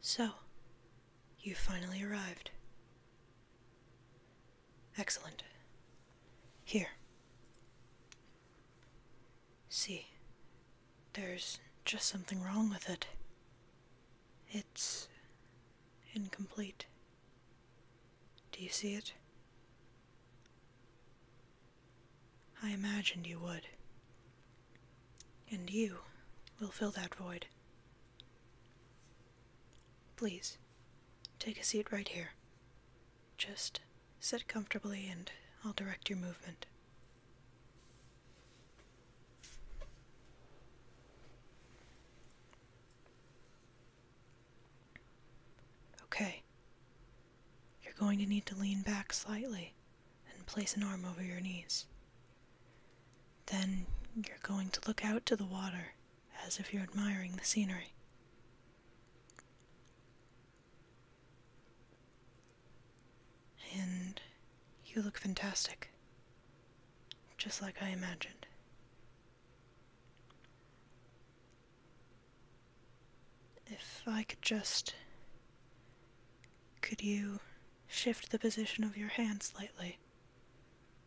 So, you finally arrived. Excellent. Here. See, there's just something wrong with it. It's incomplete. Do you see it? I imagined you would. And you will fill that void. Please, take a seat right here. Just sit comfortably and I'll direct your movement. Okay. You're going to need to lean back slightly and place an arm over your knees. Then you're going to look out to the water as if you're admiring the scenery. And you look fantastic, just like I imagined. If I could just could you shift the position of your hand slightly?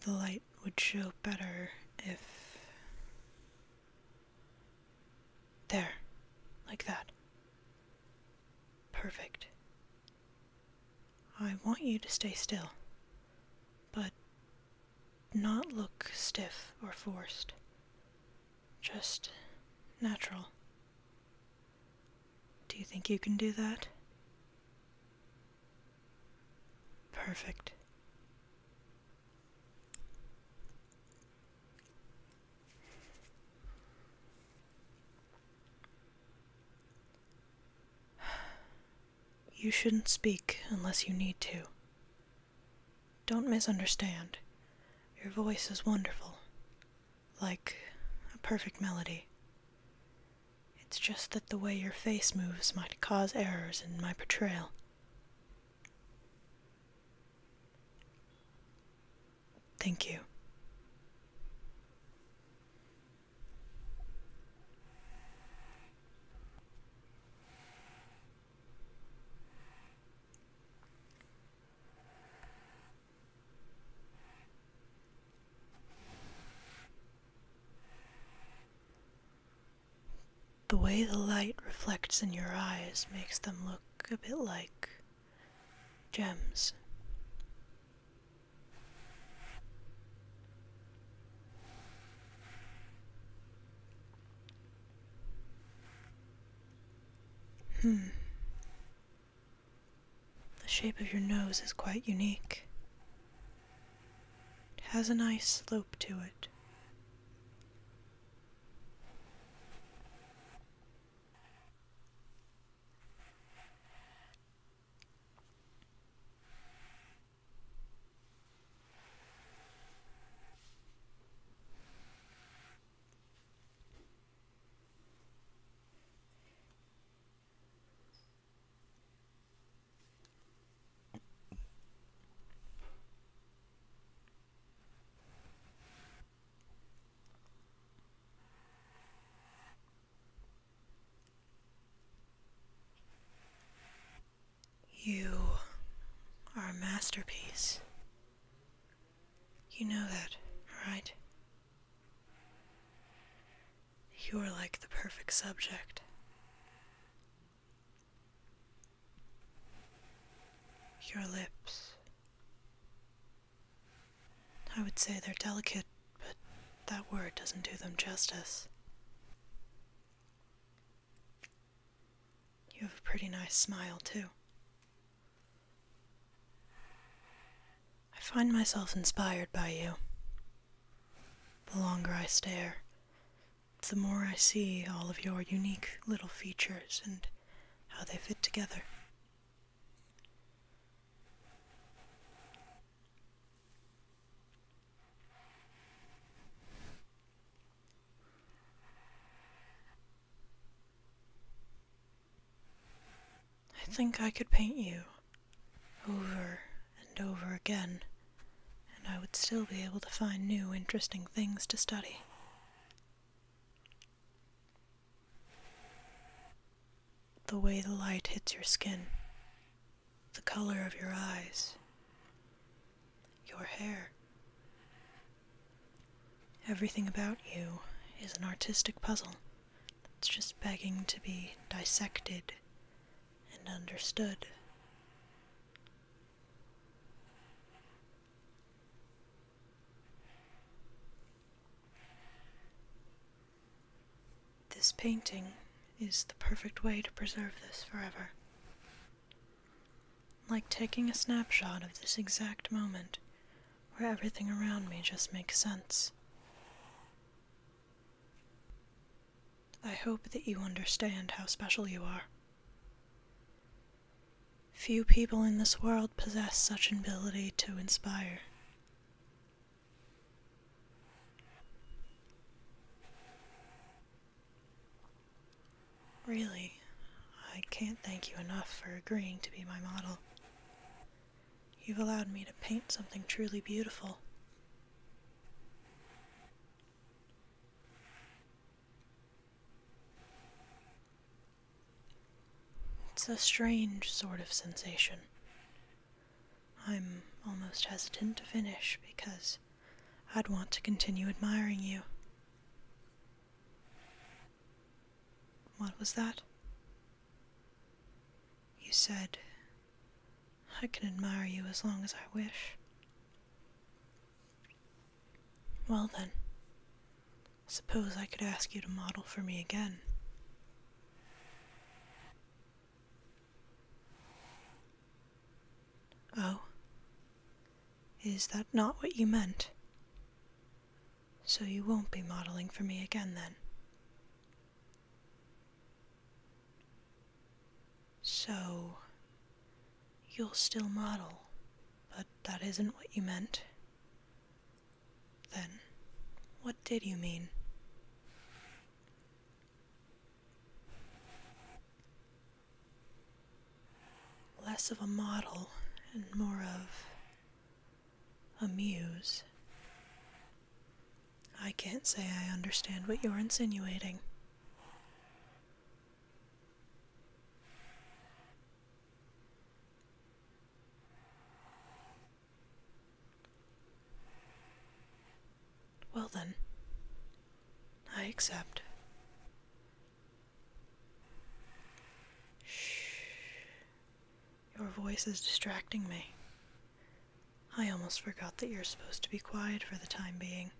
The light would show better if. There. Like that. Perfect. I want you to stay still, but not look stiff or forced. Just natural. Do you think you can do that? Perfect. You shouldn't speak unless you need to. Don't misunderstand. Your voice is wonderful like a perfect melody. It's just that the way your face moves might cause errors in my portrayal. Thank you. The way the light reflects in your eyes makes them look a bit like gems. Hmm. The shape of your nose is quite unique. It has a nice slope to it. You are a masterpiece. You know that, right? You are like the perfect subject. Your lips. I would say they're delicate, but that word doesn't do them justice. You have a pretty nice smile, too. I find myself inspired by you. The longer I stare, the more I see all of your unique little features and how they fit together. I think I could paint you over and over again, and I would still be able to find new interesting things to study. The way the light hits your skin, the color of your eyes, your hair, Everything about you is an artistic puzzle that's just begging to be dissected and understood. This painting is the perfect way to preserve this forever. Like taking a snapshot of this exact moment where everything around me just makes sense. I hope that you understand how special you are. Few people in this world possess such an ability to inspire. Really, I can't thank you enough for agreeing to be my model. You've allowed me to paint something truly beautiful. It's a strange sort of sensation. I'm almost hesitant to finish because I'd want to continue admiring you. What was that? You said, I can admire you as long as I wish. Well then, suppose I could ask you to model for me again. Oh, is that not what you meant? So you won't be modeling for me again then. So, you'll still model, but that isn't what you meant. Then, what did you mean? less of a model and more of a muse. I can't say I understand what you're insinuating. Well then, I accept. Shh. Your voice is distracting me. I almost forgot that you're supposed to be quiet for the time being.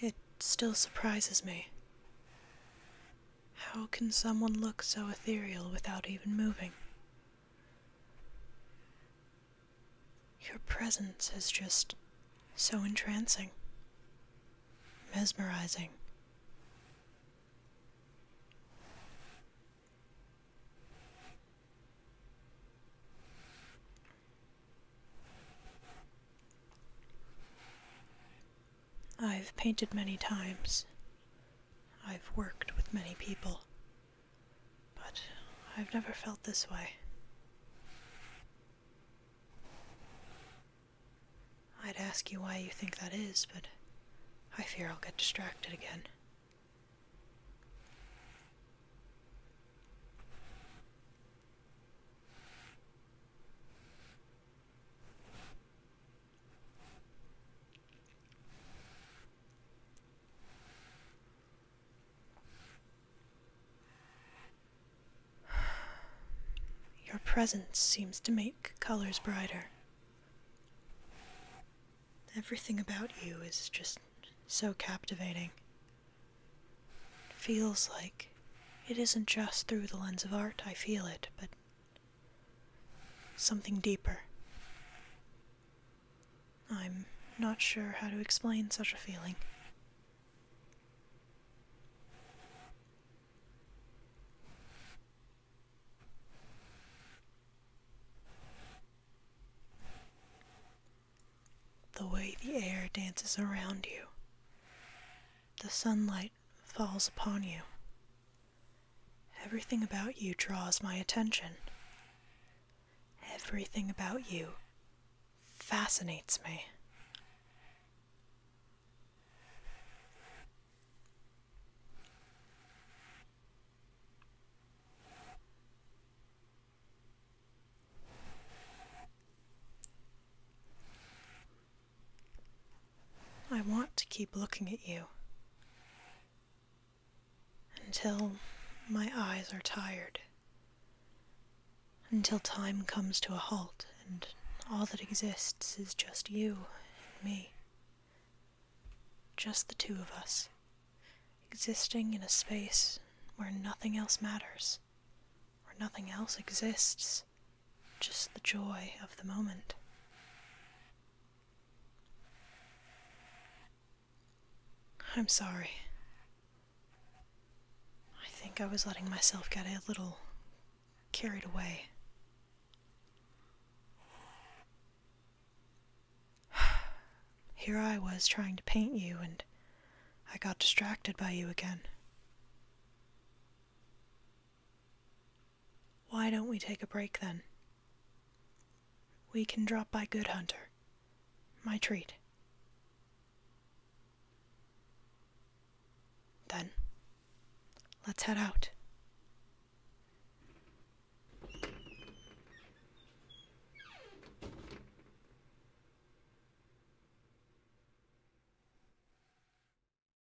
It still surprises me. How can someone look so ethereal without even moving? Your presence is just so entrancing, mesmerizing. I've painted many times. I've worked with many people. But I've never felt this way. I'd ask you why you think that is, but I fear I'll get distracted again. Your presence seems to make colors brighter. Everything about you is just so captivating. It feels like it isn't just through the lens of art I feel it, but something deeper. I'm not sure how to explain such a feeling. The way the air dances around you, the sunlight falls upon you, Everything about you draws my attention. Everything about you fascinates me. I want to keep looking at you until my eyes are tired, until time comes to a halt and all that exists is just you and me. Just the two of us, existing in a space where nothing else matters, where nothing else exists just the joy of the moment. I'm sorry. I think I was letting myself get a little carried away. Here I was trying to paint you, and I got distracted by you again. Why don't we take a break then? We can drop by Good Hunter. My treat. Then, let's head out.